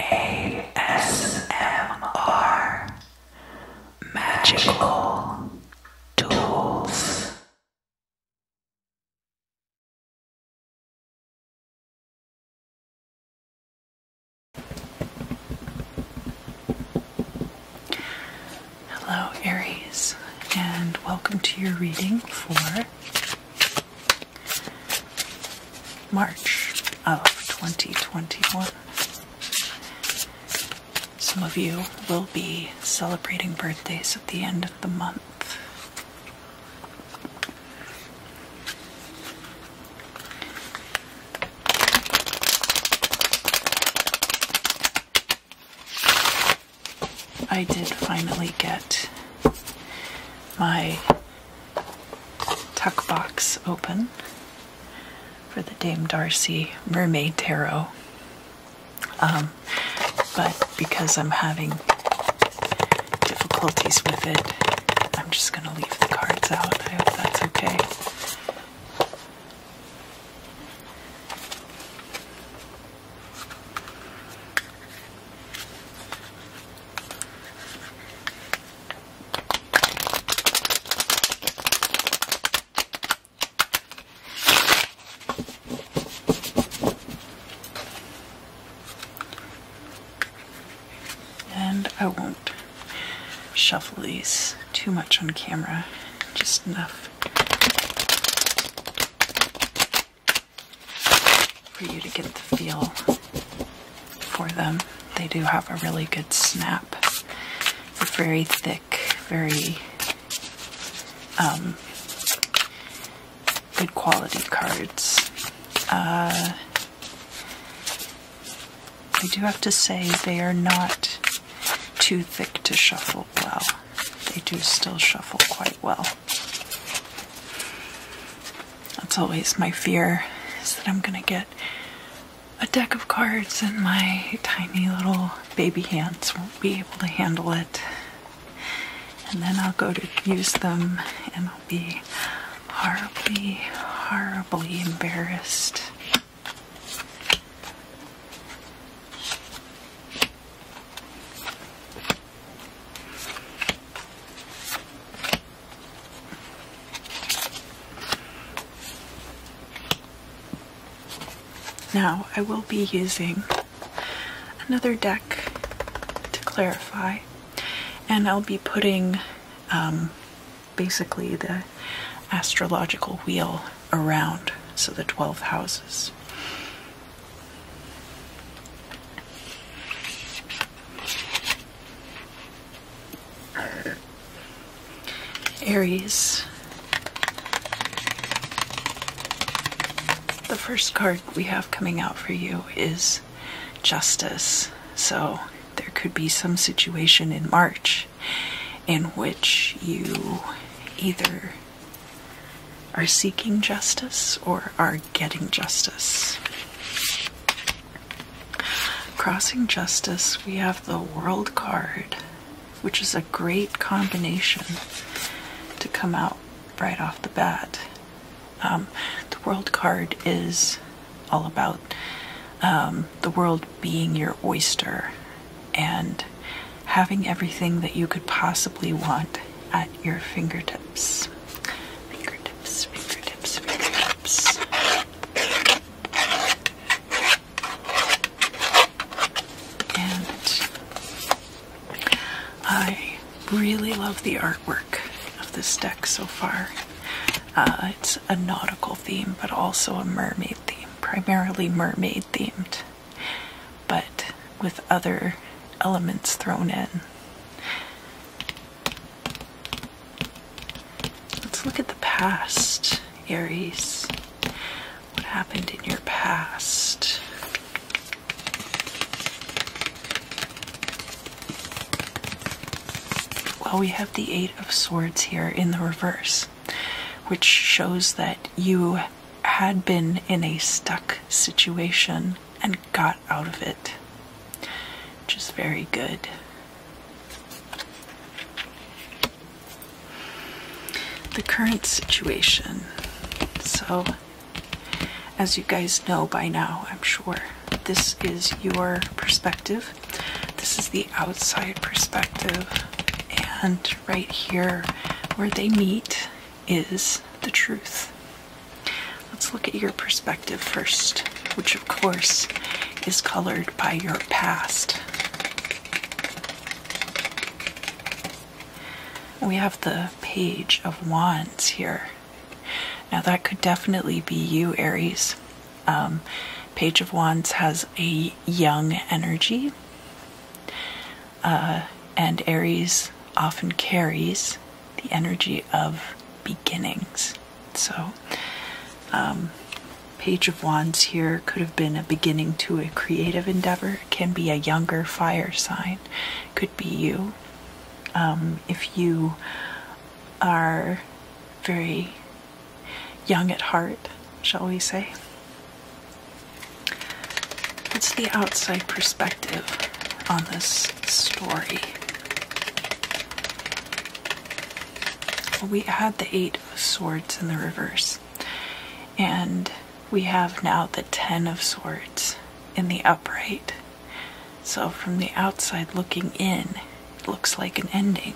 ASMR Magical Tools. Hello, Aries, and welcome to your reading for March of 2021. Some of you will be celebrating birthdays at the end of the month. I did finally get my tuck box open for the Dame Darcy Mermaid Tarot. Um, but because I'm having difficulties with it, I'm just going to leave the cards out. I hope that's okay. And I won't shuffle these too much on camera, just enough for you to get the feel for them. They do have a really good snap. They're very thick, very um, good quality cards. Uh, I do have to say they are not too thick to shuffle well. They do still shuffle quite well. That's always my fear is that I'm going to get a deck of cards and my tiny little baby hands won't be able to handle it. And then I'll go to use them and I'll be horribly, horribly embarrassed. Now, I will be using another deck to clarify, and I'll be putting um, basically the astrological wheel around, so the 12 houses. Aries. The first card we have coming out for you is Justice. So there could be some situation in March in which you either are seeking justice or are getting justice. Crossing justice, we have the world card, which is a great combination to come out right off the bat. Um, the world card is all about um, the world being your oyster and having everything that you could possibly want at your fingertips. Fingertips, fingertips, fingertips. And I really love the artwork of this deck so far. Uh, it's a nautical theme, but also a mermaid theme, primarily mermaid themed but with other elements thrown in. Let's look at the past, Aries. What happened in your past? Well, we have the Eight of Swords here in the reverse, which shows that you had been in a stuck situation and got out of it, which is very good. The current situation. So, as you guys know by now, I'm sure, this is your perspective. This is the outside perspective. And right here, where they meet is the truth. Let's look at your perspective first, which of course is colored by your past. We have the Page of Wands here. Now, that could definitely be you, Aries. Um, Page of Wands has a young energy. Uh, and Aries often carries the energy of beginnings. So, um, Page of Wands here could have been a beginning to a creative endeavor, can be a younger fire sign, could be you. Um, if you are very young at heart, shall we say, What's the outside perspective on this story. We had the Eight of Swords in the reverse, and we have now the Ten of Swords in the upright. So, from the outside looking in, it looks like an ending.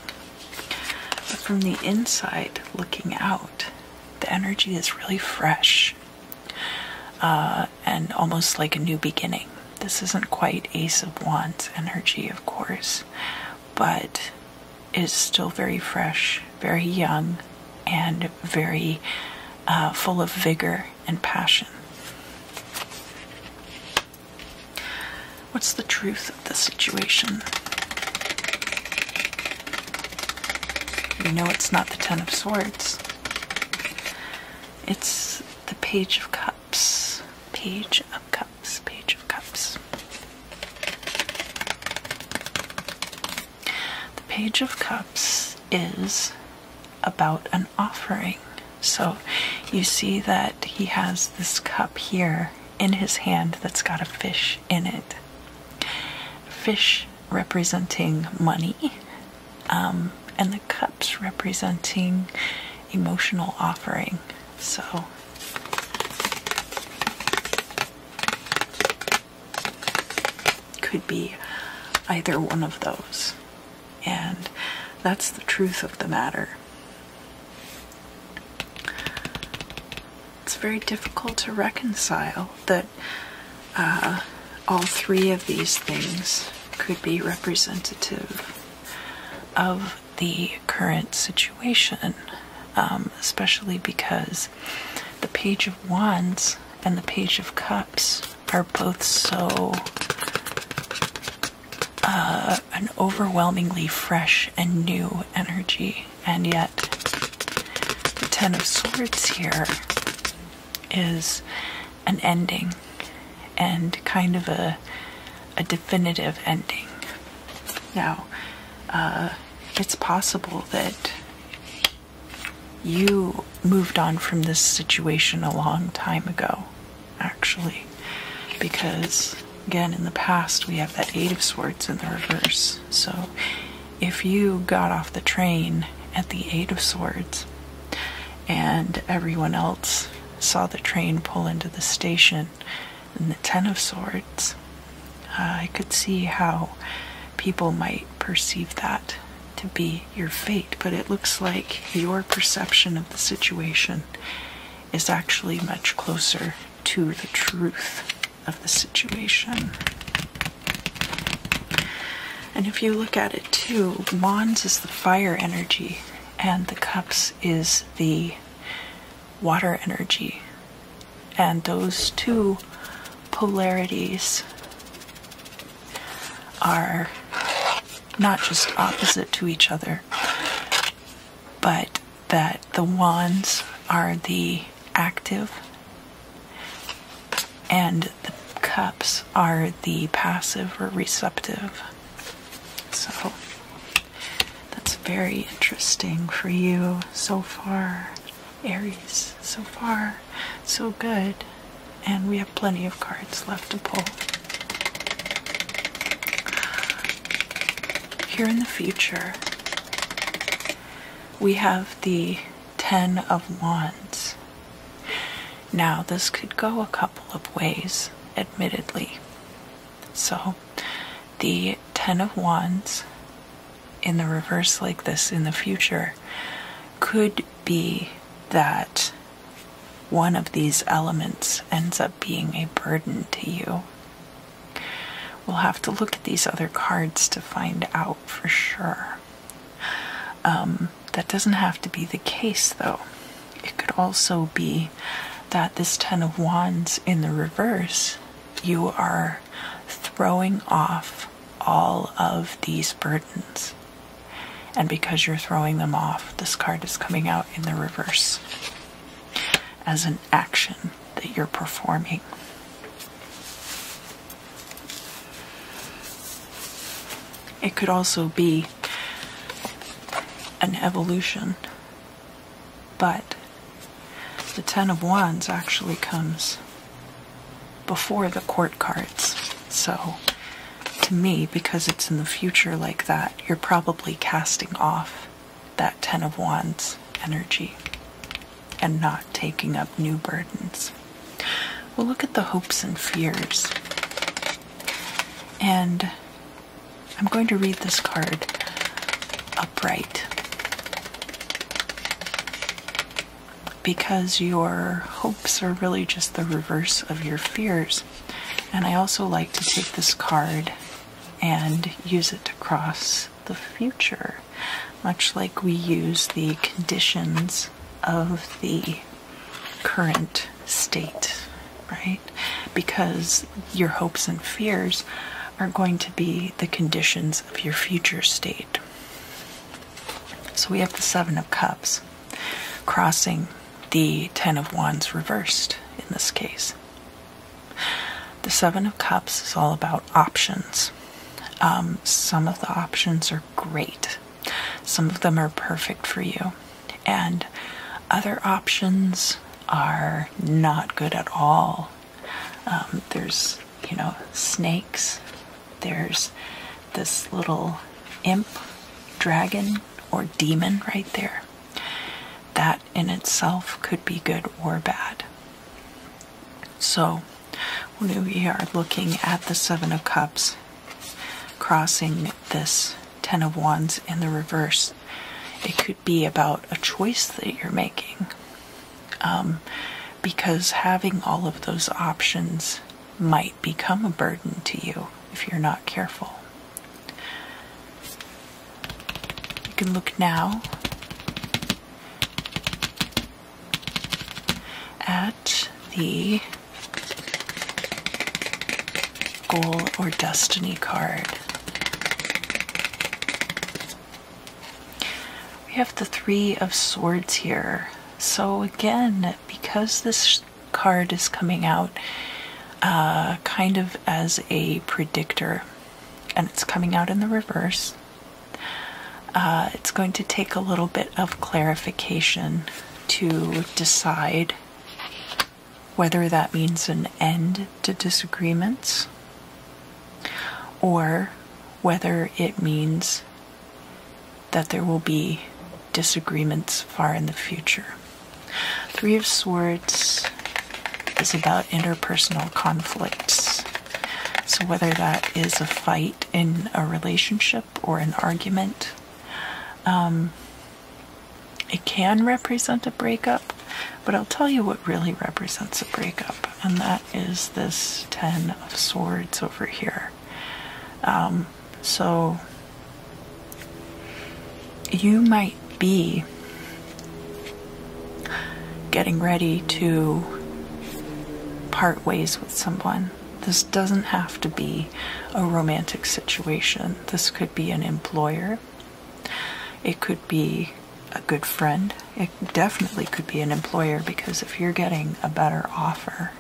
But from the inside looking out, the energy is really fresh. Uh, and almost like a new beginning. This isn't quite Ace of Wands energy, of course, but it is still very fresh, very young, and very uh, full of vigor and passion. What's the truth of the situation? You know it's not the Ten of Swords. It's the Page of Cups. Page of Cups. Page of Cups. The Page of Cups is about an offering. So you see that he has this cup here in his hand that's got a fish in it. Fish representing money, um, and the cups representing emotional offering. So. Could be either one of those. And that's the truth of the matter it's very difficult to reconcile that uh, all three of these things could be representative of the current situation, um, especially because the Page of Wands and the Page of Cups are both so uh, an overwhelmingly fresh and new energy and yet the Ten of Swords here is an ending and kind of a a definitive ending. Now, uh, it's possible that you moved on from this situation a long time ago, actually, because again in the past we have that Eight of Swords in the reverse. So if you got off the train at the Eight of Swords and everyone else saw the train pull into the station in the Ten of Swords, uh, I could see how people might perceive that to be your fate, but it looks like your perception of the situation is actually much closer to the truth of the situation. And if you look at it too, Wands is the fire energy, and the Cups is the water energy. And those two polarities are not just opposite to each other, but that the Wands are the active, and the cups are the passive or receptive. So that's very interesting for you so far, Aries. So far, so good. And we have plenty of cards left to pull. Here in the future, we have the Ten of Wands. Now, this could go a couple of ways, admittedly. So, the Ten of Wands in the reverse, like this in the future, could be that one of these elements ends up being a burden to you. We'll have to look at these other cards to find out for sure. Um, that doesn't have to be the case though. It could also be that this Ten of Wands in the reverse, you are throwing off all of these burdens. And because you're throwing them off, this card is coming out in the reverse as an action that you're performing. It could also be an evolution, but the Ten of Wands actually comes before the court cards. So, to me, because it's in the future like that, you're probably casting off that Ten of Wands energy and not taking up new burdens. We'll look at the hopes and fears. And I'm going to read this card upright. Because your hopes are really just the reverse of your fears. And I also like to take this card and use it to cross the future, much like we use the conditions of the current state, right? Because your hopes and fears are going to be the conditions of your future state. So we have the Seven of Cups crossing the Ten of Wands reversed in this case. The Seven of Cups is all about options. Um, some of the options are great, some of them are perfect for you, and other options are not good at all. Um, there's, you know, snakes, there's this little imp, dragon, or demon right there. That in itself could be good or bad. So, when we are looking at the Seven of Cups crossing this Ten of Wands in the reverse, it could be about a choice that you're making. Um, because having all of those options might become a burden to you if you're not careful. You can look now at the goal or destiny card. We have the Three of Swords here. So, again, because this card is coming out uh, kind of as a predictor, and it's coming out in the reverse, uh, it's going to take a little bit of clarification to decide whether that means an end to disagreements or whether it means that there will be disagreements far in the future. Three of Swords is about interpersonal conflicts. So, whether that is a fight in a relationship or an argument, um, it can represent a breakup, but I'll tell you what really represents a breakup, and that is this Ten of Swords over here. Um, so, you might be getting ready to part ways with someone. This doesn't have to be a romantic situation. This could be an employer. It could be a good friend. It definitely could be an employer because if you're getting a better offer,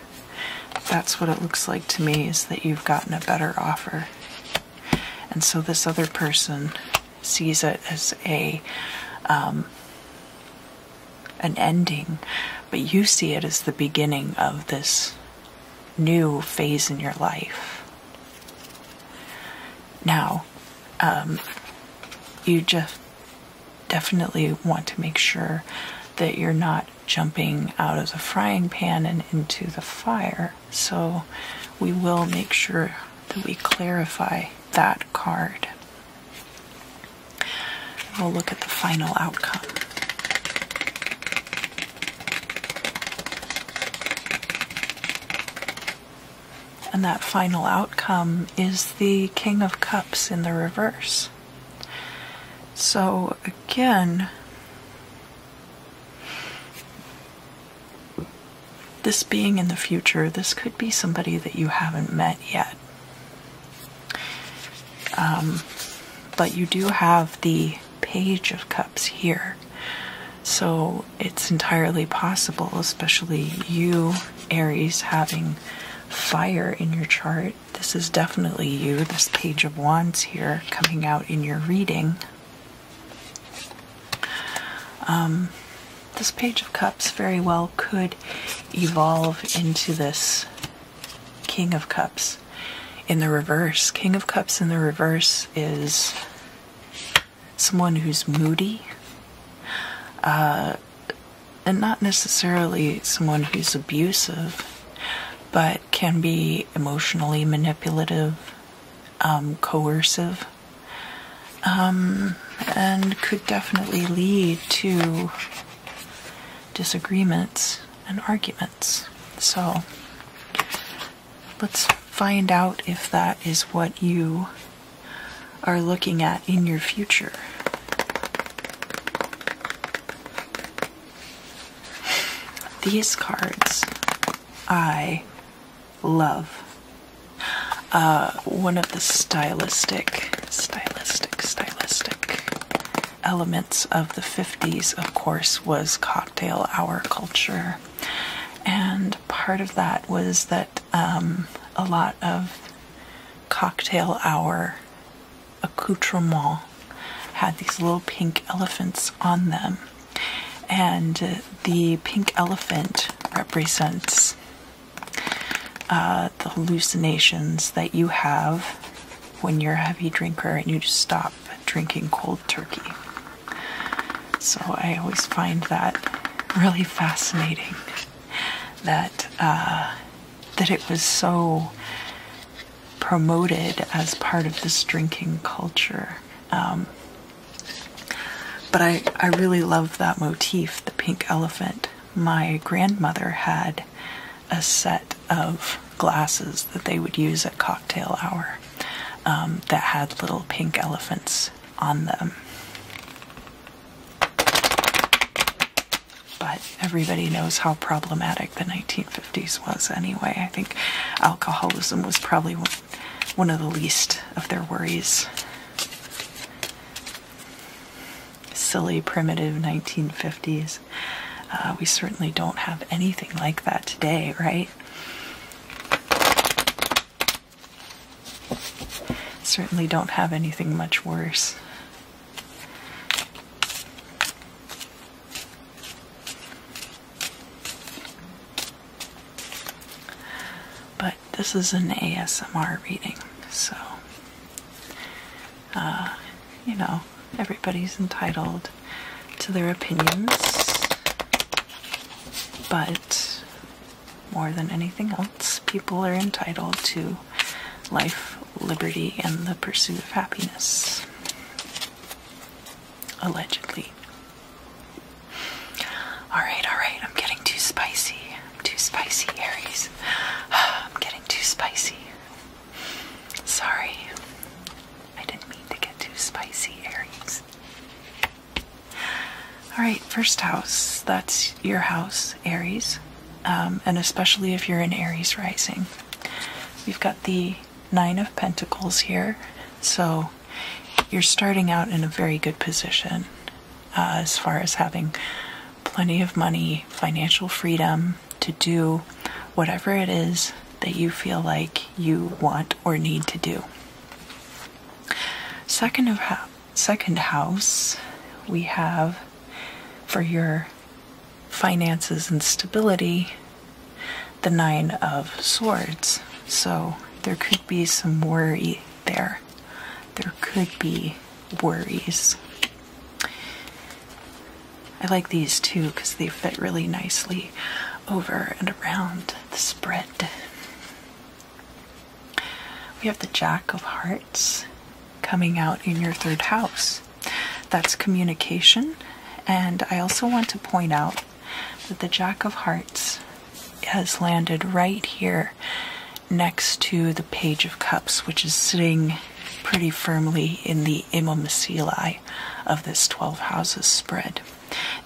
that's what it looks like to me is that you've gotten a better offer. And so this other person sees it as a um, an ending, but you see it as the beginning of this new phase in your life. Now, um, you just definitely want to make sure that you're not jumping out of the frying pan and into the fire. So we will make sure that we clarify that card. We'll look at the final outcome. And that final outcome is the King of Cups in the reverse. So again, this being in the future, this could be somebody that you haven't met yet. Um, but you do have the Page of Cups here. So it's entirely possible, especially you, Aries, having fire in your chart. This is definitely you, this Page of Wands here coming out in your reading. Um, this Page of Cups very well could evolve into this King of Cups in the reverse. King of Cups in the reverse is someone who's moody. Uh, and not necessarily someone who's abusive, but can be emotionally manipulative, um, coercive, um, and could definitely lead to disagreements and arguments. So let's find out if that is what you are looking at in your future. These cards I love. Uh, one of the stylistic, stylistic, stylistic elements of the 50s, of course, was cocktail hour culture. And part of that was that um, a lot of cocktail hour accoutrements had these little pink elephants on them. And uh, the pink elephant represents uh, the hallucinations that you have when you're a heavy drinker and you just stop drinking cold turkey. So I always find that really fascinating that uh, that it was so promoted as part of this drinking culture. Um, but I, I really love that motif, the pink elephant. My grandmother had a set of glasses that they would use at cocktail hour um, that had little pink elephants on them. But everybody knows how problematic the 1950s was anyway. I think alcoholism was probably one of the least of their worries. Silly, primitive 1950s. Uh, we certainly don't have anything like that today, right? Certainly don't have anything much worse. But this is an ASMR reading, so uh, you know, everybody's entitled to their opinions, but more than anything else, people are entitled to life, liberty, and the pursuit of happiness. Allegedly. Alright, alright, I'm getting too spicy. I'm too spicy, Aries. I'm getting too spicy. Sorry. I didn't mean to get too spicy, Aries. Alright, first house. That's your house, Aries. Um, and especially if you're in Aries rising. We've got the Nine of Pentacles here. So you're starting out in a very good position. Uh, as far as having plenty of money, financial freedom to do whatever it is that you feel like you want or need to do. Second of second house, we have for your finances and stability the nine of swords. So there could be some worry there there could be worries. I like these too because they fit really nicely over and around the spread. We have the Jack of Hearts coming out in your third house. That's communication. And I also want to point out that the Jack of Hearts has landed right here next to the Page of Cups, which is sitting pretty firmly in the Immomacili of this 12 houses spread.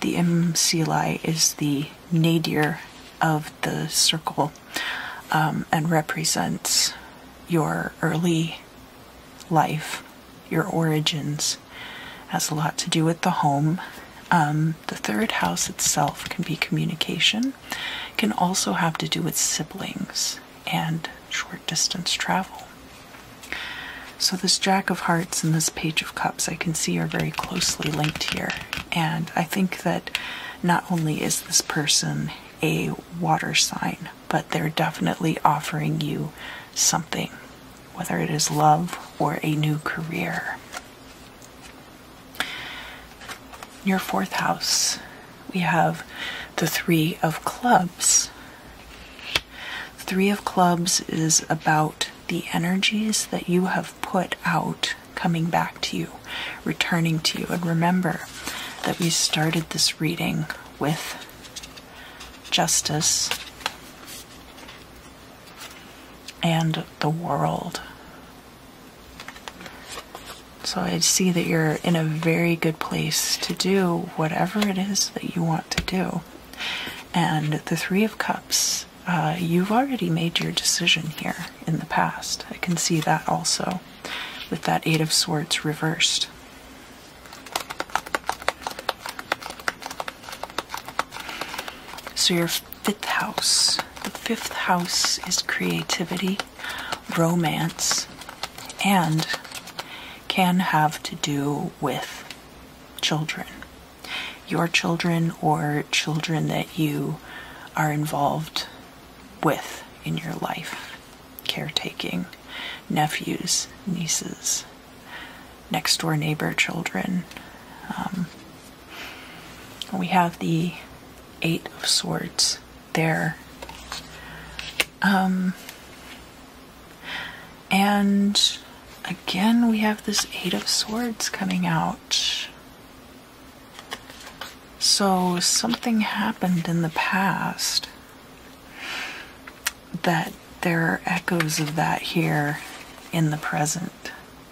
The Immomacili is the nadir of the circle um, and represents your early life, your origins, has a lot to do with the home um, the third house itself can be communication, it can also have to do with siblings and short distance travel. So, this Jack of Hearts and this Page of Cups I can see are very closely linked here. And I think that not only is this person a water sign, but they're definitely offering you something, whether it is love or a new career your fourth house, we have the Three of Clubs. Three of Clubs is about the energies that you have put out coming back to you, returning to you. And remember that we started this reading with justice and the world. So I see that you're in a very good place to do whatever it is that you want to do. And the Three of Cups, uh, you've already made your decision here in the past. I can see that also with that Eight of Swords reversed. So, your fifth house. The fifth house is creativity, romance, and can have to do with children. Your children or children that you are involved with in your life, caretaking, nephews, nieces, next door neighbor children, um, we have the Eight of Swords there. Um, and again, we have this Eight of Swords coming out. So something happened in the past that there are echoes of that here in the present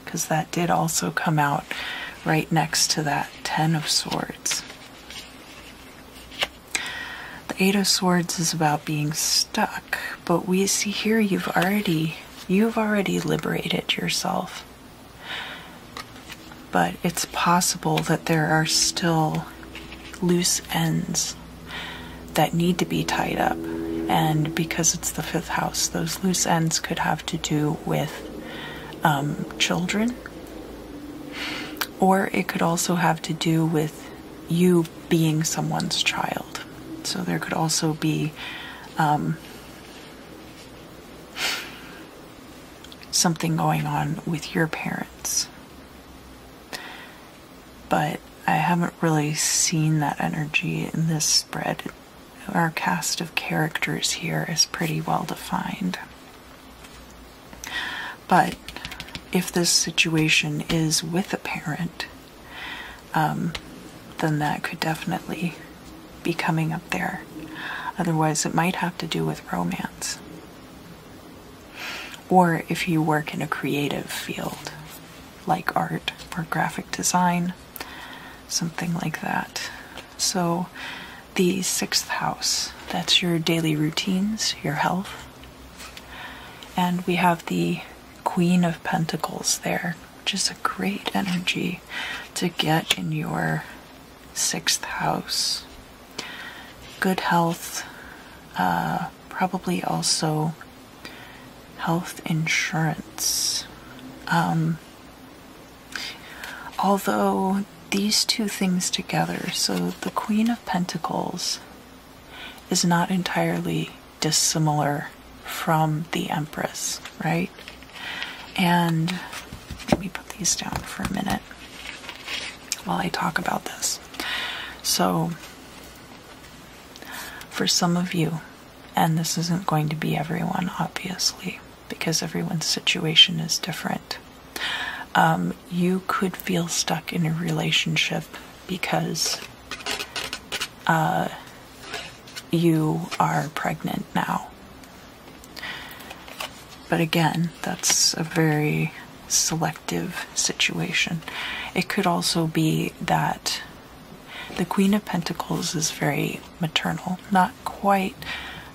because that did also come out right next to that Ten of Swords. The Eight of Swords is about being stuck, but we see here you've already you've already liberated yourself. But it's possible that there are still loose ends that need to be tied up. And because it's the fifth house. Those loose ends could have to do with um, children, or it could also have to do with you being someone's child. So there could also be um, something going on with your parents. But I haven't really seen that energy in this spread our cast of characters here is pretty well defined. But if this situation is with a parent, um, then that could definitely be coming up there. Otherwise, it might have to do with romance. Or if you work in a creative field like art or graphic design, something like that. So, the sixth house, that's your daily routines, your health. And we have the Queen of Pentacles there, which is a great energy to get in your sixth house. Good health, uh, probably also health insurance. Um, although these two things together, so the Queen of Pentacles is not entirely dissimilar from the Empress, right? And let me put these down for a minute while I talk about this. So, for some of you, and this isn't going to be everyone, obviously, because everyone's situation is different. Um, you could feel stuck in a relationship because uh, you are pregnant now. But again, that's a very selective situation. It could also be that the Queen of Pentacles is very maternal, not quite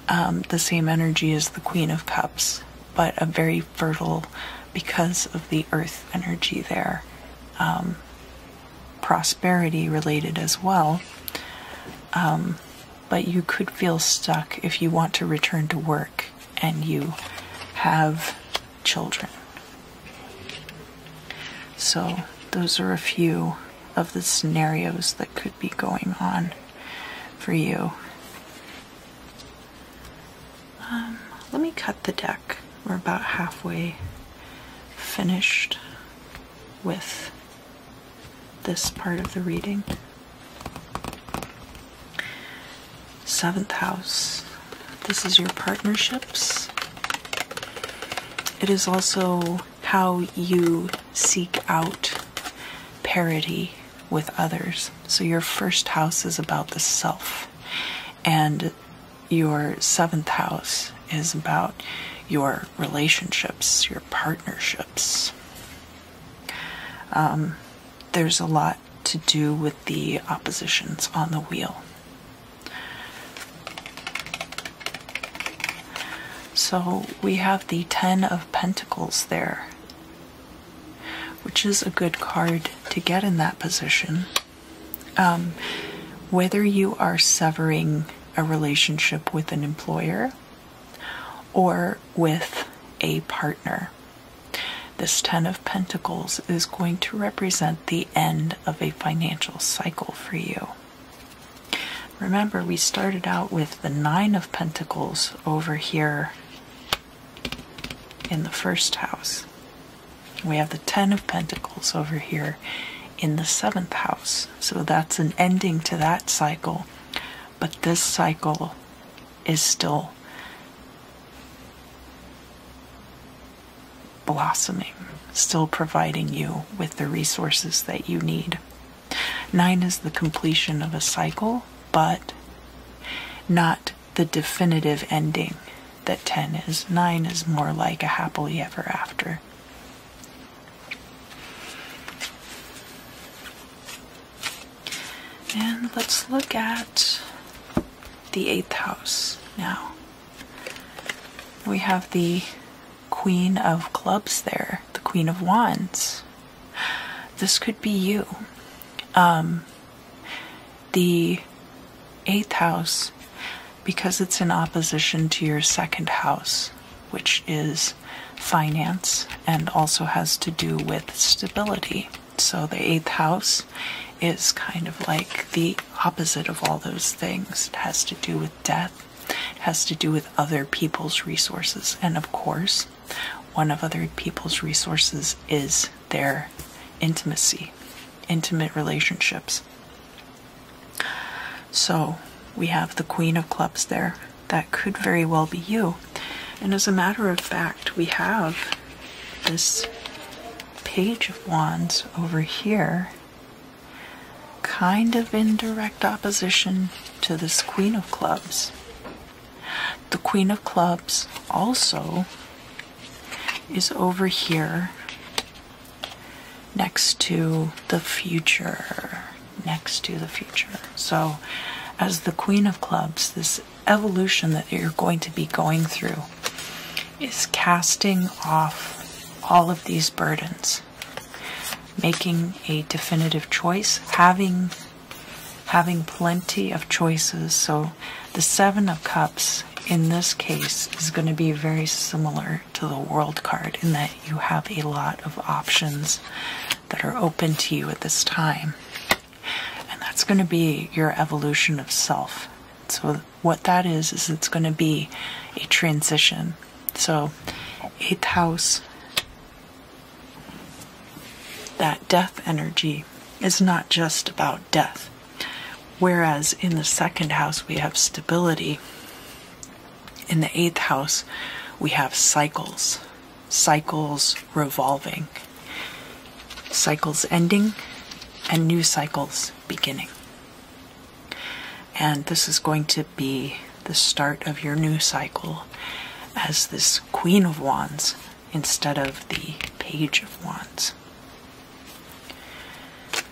um, the same energy as the Queen of Cups, but a very fertile, because of the earth energy there, um, prosperity related as well. Um, but you could feel stuck if you want to return to work and you have children so, those are a few of the scenarios that could be going on for you. Um, let me cut the deck. We're about halfway finished with this part of the reading. Seventh house. This is your partnerships. It is also how you seek out parity with others. So your first house is about the self, and your seventh house is about your relationships, your partnerships. Um, there's a lot to do with the oppositions on the wheel. So we have the Ten of Pentacles there, which is a good card to get in that position. Um, whether you are severing a relationship with an employer or with a partner, this Ten of Pentacles is going to represent the end of a financial cycle for you. Remember, we started out with the Nine of Pentacles over here in the first house. We have the Ten of Pentacles over here in the seventh house. So that's an ending to that cycle. But this cycle is still blossoming, still providing you with the resources that you need. Nine is the completion of a cycle, but not the definitive ending that 10 is. 9 is more like a happily ever after. And let's look at the eighth house now. We have the Queen of Clubs there, the Queen of Wands. This could be you. Um, the eighth house, because it's in opposition to your second house, which is finance and also has to do with stability. So the eighth house is kind of like the opposite of all those things. It has to do with death, it has to do with other people's resources, and of course, one of other people's resources is their intimacy, intimate relationships. So we have the Queen of Clubs there. That could very well be you. And as a matter of fact, we have this Page of Wands over here kind of indirect opposition to this Queen of Clubs. The Queen of Clubs also is over here next to the future. Next to the future. So, as the Queen of Clubs, this evolution that you're going to be going through is casting off all of these burdens, making a definitive choice, having having plenty of choices. So the Seven of Cups in this case is going to be very similar to the World card in that you have a lot of options that are open to you at this time. And that's going to be your evolution of self. So what that is is it's going to be a transition. So, eighth house, that death energy is not just about death. Whereas in the second house, we have stability. In the eighth house, we have cycles, cycles revolving, cycles ending, and new cycles beginning. And this is going to be the start of your new cycle as this Queen of Wands instead of the Page of Wands.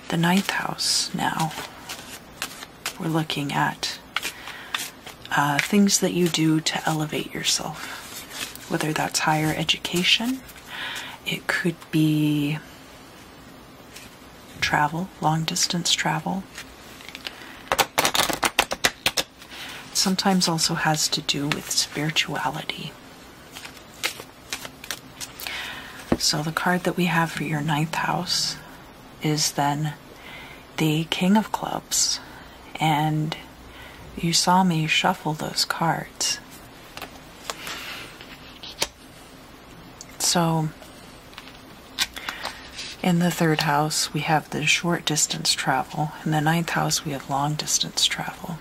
The ninth house now, we're looking at uh, things that you do to elevate yourself, whether that's higher education, it could be travel, long distance travel. Sometimes also has to do with spirituality. So, the card that we have for your ninth house is then the King of Clubs. And you saw me shuffle those cards. So, in the third house, we have the short distance travel. In the ninth house, we have long distance travel.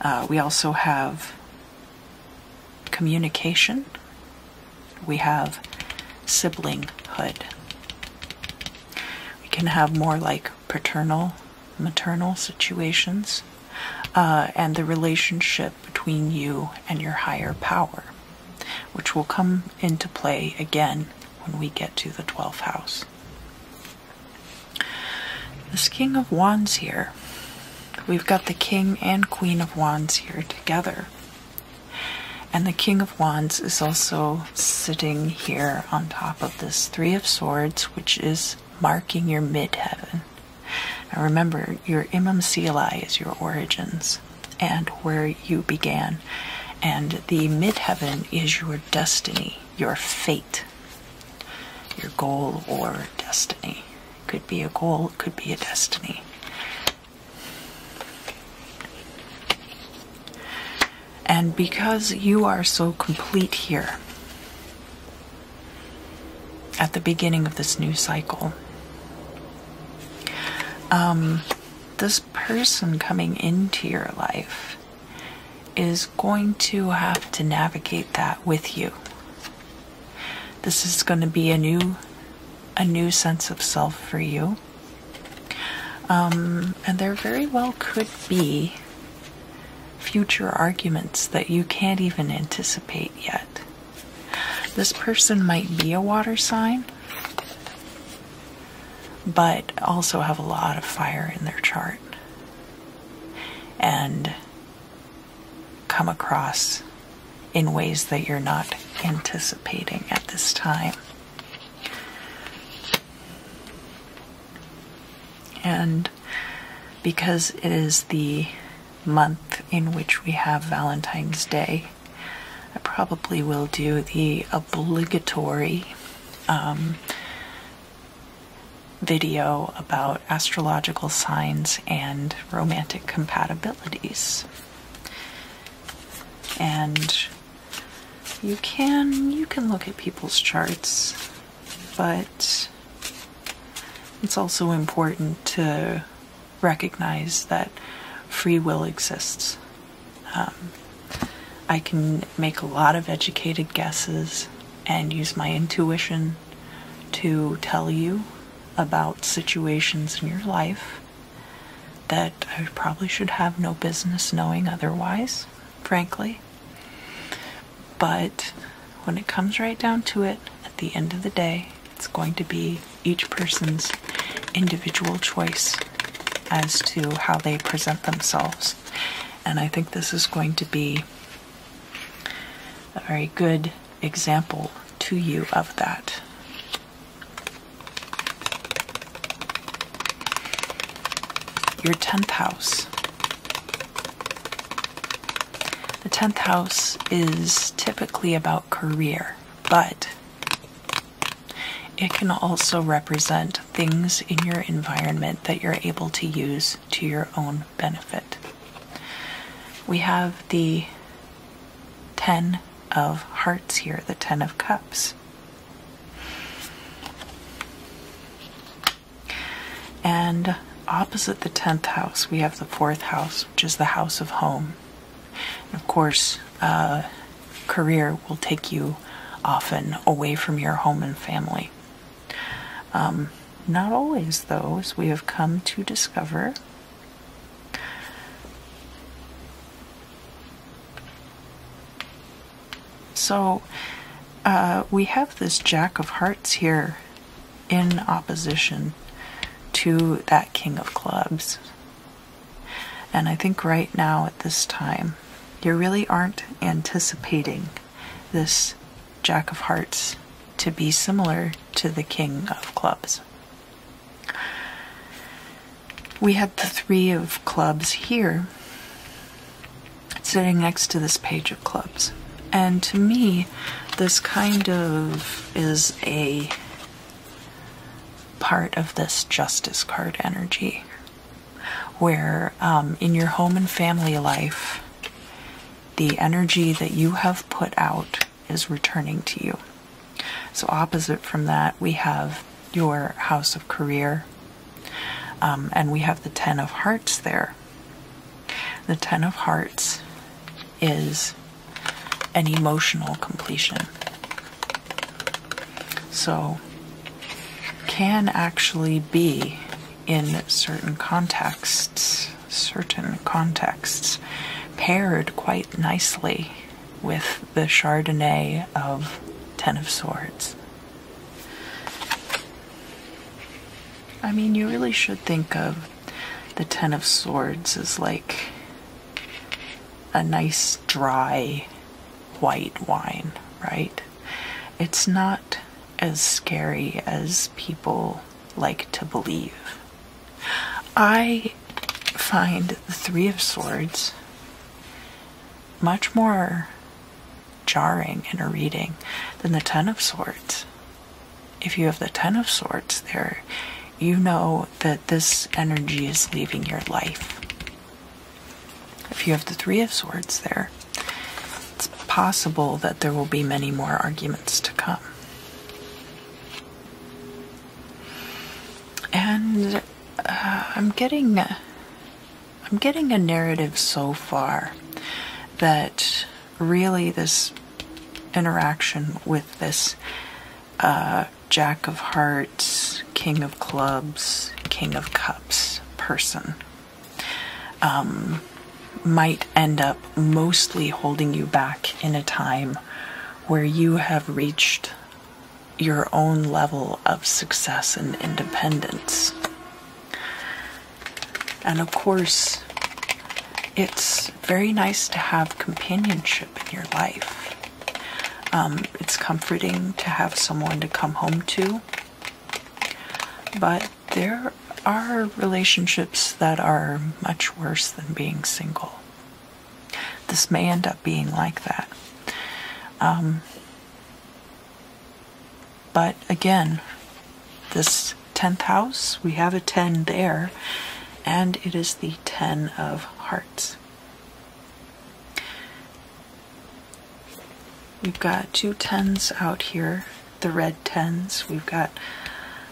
Uh, we also have communication. We have siblinghood. We can have more like paternal maternal situations, uh, and the relationship between you and your higher power, which will come into play again when we get to the 12th house. This King of Wands here, we've got the King and Queen of Wands here together. And the King of Wands is also sitting here on top of this Three of Swords, which is marking your midheaven. Now remember, your Imam Sali is your origins and where you began, and the midheaven is your destiny, your fate, your goal or destiny. Could be a goal, could be a destiny. And because you are so complete here, at the beginning of this new cycle. Um, this person coming into your life is going to have to navigate that with you. This is going to be a new, a new sense of self for you. Um, and there very well could be future arguments that you can't even anticipate yet. This person might be a water sign, but also have a lot of fire in their chart and come across in ways that you're not anticipating at this time. And because it is the month in which we have Valentine's Day, I probably will do the obligatory um, video about astrological signs and romantic compatibilities. And you can you can look at people's charts but it's also important to recognize that free will exists. Um, I can make a lot of educated guesses and use my intuition to tell you about situations in your life that I probably should have no business knowing otherwise, frankly. But when it comes right down to it, at the end of the day, it's going to be each person's individual choice as to how they present themselves. And I think this is going to be a very good example to you of that. Your 10th house the 10th house is typically about career, but it can also represent things in your environment that you're able to use to your own benefit. We have the 10 of hearts here, the 10 of cups. And opposite the 10th house, we have the 4th house, which is the house of home. of course, uh, career will take you often away from your home and family. Um, not always, though, as we have come to discover. So, uh, we have this Jack of Hearts here in opposition to that King of Clubs. And I think right now at this time, you really aren't anticipating this Jack of Hearts to be similar to the King of Clubs. We had the Three of Clubs here, sitting next to this page of clubs. And to me, this kind of is a part of this justice card energy where um, in your home and family life, the energy that you have put out is returning to you. So, opposite from that, we have your house of career, um, and we have the Ten of Hearts there, the Ten of Hearts is an emotional completion. So, can actually be in certain contexts, certain contexts, paired quite nicely with the Chardonnay of Ten of Swords. I mean, you really should think of the Ten of Swords as like a nice, dry white wine, right? It's not as scary as people like to believe. I find the Three of Swords much more jarring in a reading than the Ten of Swords. If you have the Ten of Swords there, you know that this energy is leaving your life. If you have the Three of Swords there, it's possible that there will be many more arguments to come. And uh, I'm getting. Uh, I'm getting a narrative so far that really this interaction with this uh, Jack of Hearts, King of Clubs, King of Cups person um, might end up mostly holding you back in a time where you have reached your own level of success and independence. And of course, it's very nice to have companionship in your life. Um, it's comforting to have someone to come home to. But there are relationships that are much worse than being single. This may end up being like that. Um, but again, this 10th house, we have a 10 there, and it is the 10 of hearts. We've got two tens out here, the red tens. We've got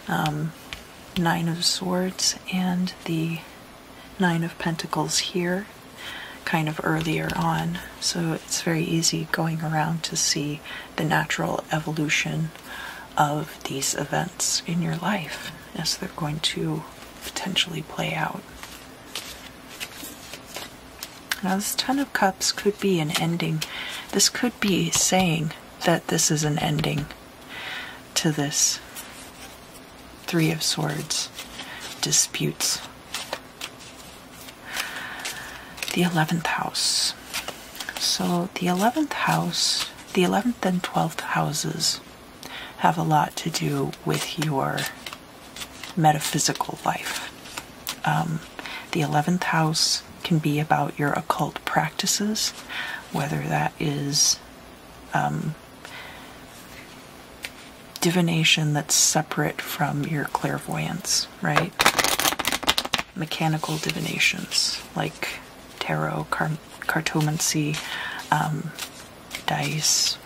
um, nine of swords and the nine of pentacles here, kind of earlier on. So it's very easy going around to see the natural evolution of these events in your life as they're going to potentially play out. Now, this Ten of Cups could be an ending. This could be saying that this is an ending to this Three of Swords disputes the 11th house. So the 11th house, the 11th and 12th houses have a lot to do with your metaphysical life. Um, the 11th house can be about your occult practices, whether that is um, divination that's separate from your clairvoyance right? Mechanical divinations like tarot, cartomancy, um, dice,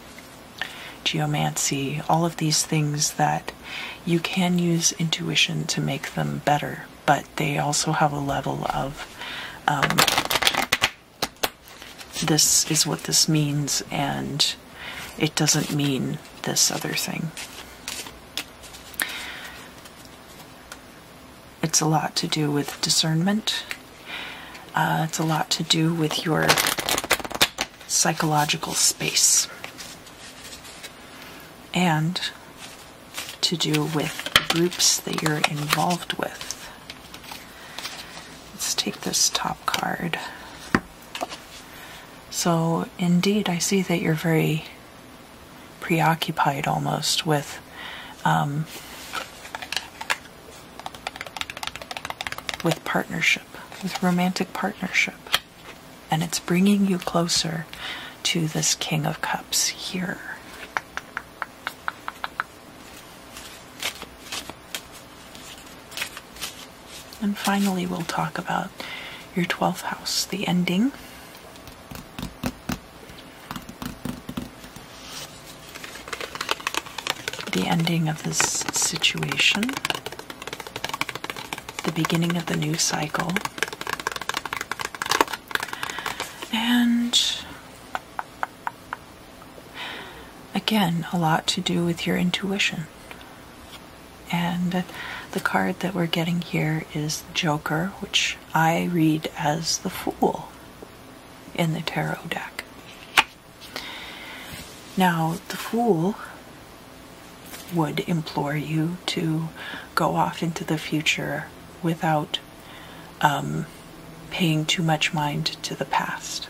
geomancy, all of these things that you can use intuition to make them better, but they also have a level of um, this is what this means, and it doesn't mean this other thing. It's a lot to do with discernment. Uh, it's a lot to do with your psychological space and to do with groups that you're involved with. Let's take this top card. So, indeed, I see that you're very preoccupied almost with um, with partnership, with romantic partnership. And it's bringing you closer to this King of Cups here. And finally, we'll talk about your 12th house, the ending. The ending of this situation, the beginning of the new cycle, and again, a lot to do with your intuition. And the card that we're getting here is Joker, which I read as the Fool in the tarot deck. Now, the Fool would implore you to go off into the future without um, paying too much mind to the past.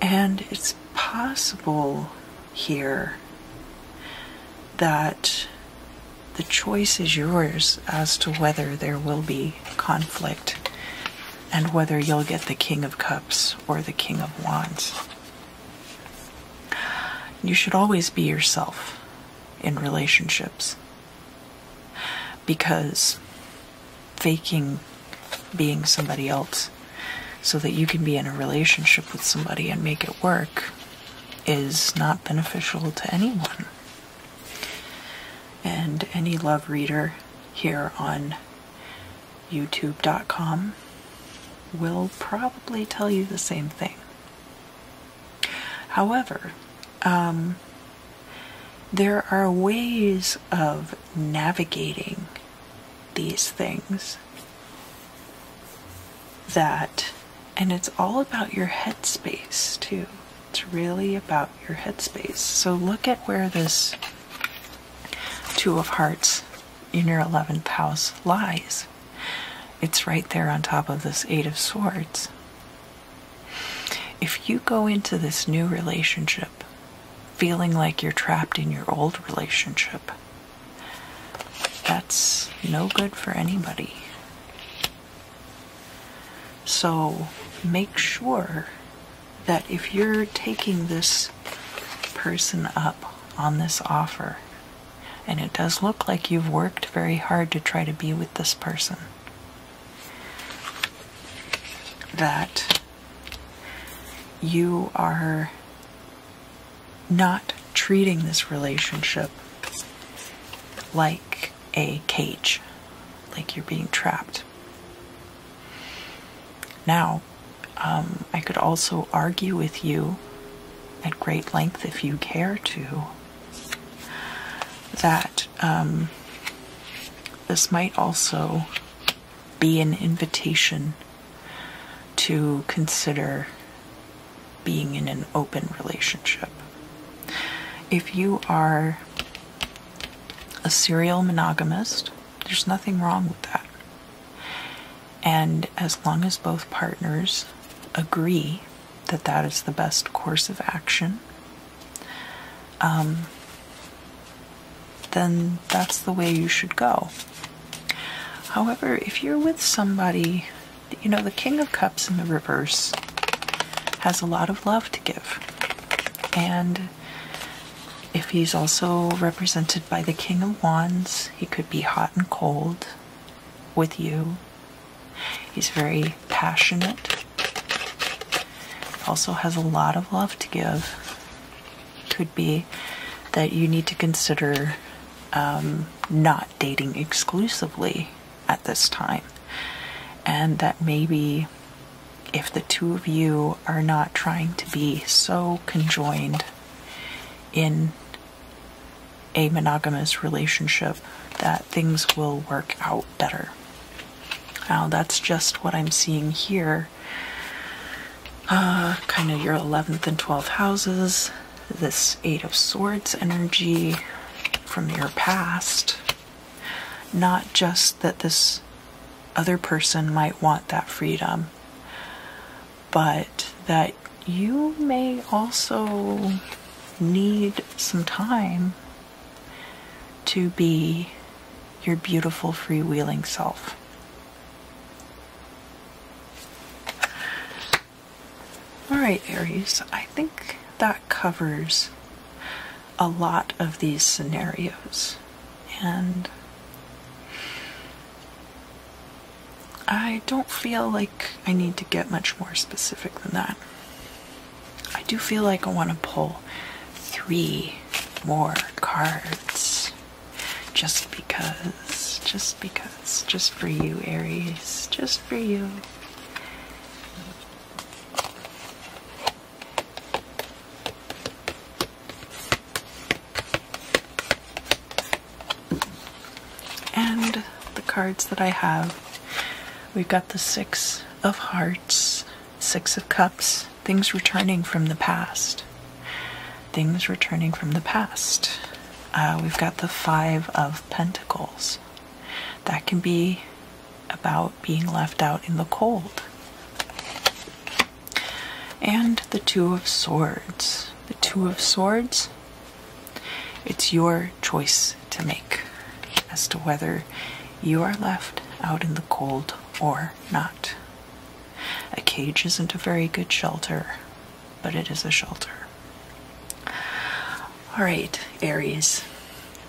And it's possible here that the choice is yours as to whether there will be conflict and whether you'll get the King of Cups or the King of Wands. You should always be yourself in relationships because faking being somebody else so that you can be in a relationship with somebody and make it work is not beneficial to anyone. And any love reader here on youtube.com will probably tell you the same thing. However, um, there are ways of navigating these things that and it's all about your headspace too it's really about your headspace so look at where this two of hearts in your 11th house lies it's right there on top of this eight of swords if you go into this new relationship feeling like you're trapped in your old relationship that's no good for anybody. So make sure that if you're taking this person up on this offer, and it does look like you've worked very hard to try to be with this person, that you are not treating this relationship like a cage, like you're being trapped. Now, um, I could also argue with you at great length if you care to that um, this might also be an invitation to consider being in an open relationship. If you are a serial monogamist, there's nothing wrong with that. And as long as both partners agree that that is the best course of action, um, then that's the way you should go. However, if you're with somebody, you know, the King of Cups in the reverse has a lot of love to give. And if he's also represented by the King of Wands, he could be hot and cold with you. He's very passionate, also has a lot of love to give could be that you need to consider um, not dating exclusively at this time. And that maybe if the two of you are not trying to be so conjoined in a monogamous relationship, that things will work out better. Now, that's just what I'm seeing here. Uh, kind of your 11th and 12th houses, this Eight of Swords energy from your past. Not just that this other person might want that freedom, but that you may also need some time to be your beautiful freewheeling self. All right, Aries, I think that covers a lot of these scenarios. And I don't feel like I need to get much more specific than that. I do feel like I want to pull three more cards. Just because, just because, just for you, Aries, just for you. And the cards that I have we've got the Six of Hearts, Six of Cups, things, returning from the past. Things returning from the past. Uh, we've got the Five of Pentacles. That can be about being left out in the cold. And the Two of Swords. The Two of Swords, it's your choice to make as to whether you are left out in the cold or not. A cage isn't a very good shelter, but it is a shelter. All right, Aries,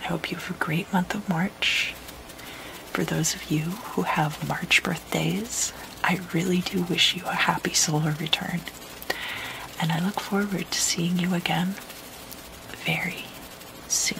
I hope you have a great month of March. For those of you who have March birthdays, I really do wish you a happy silver return. And I look forward to seeing you again very soon.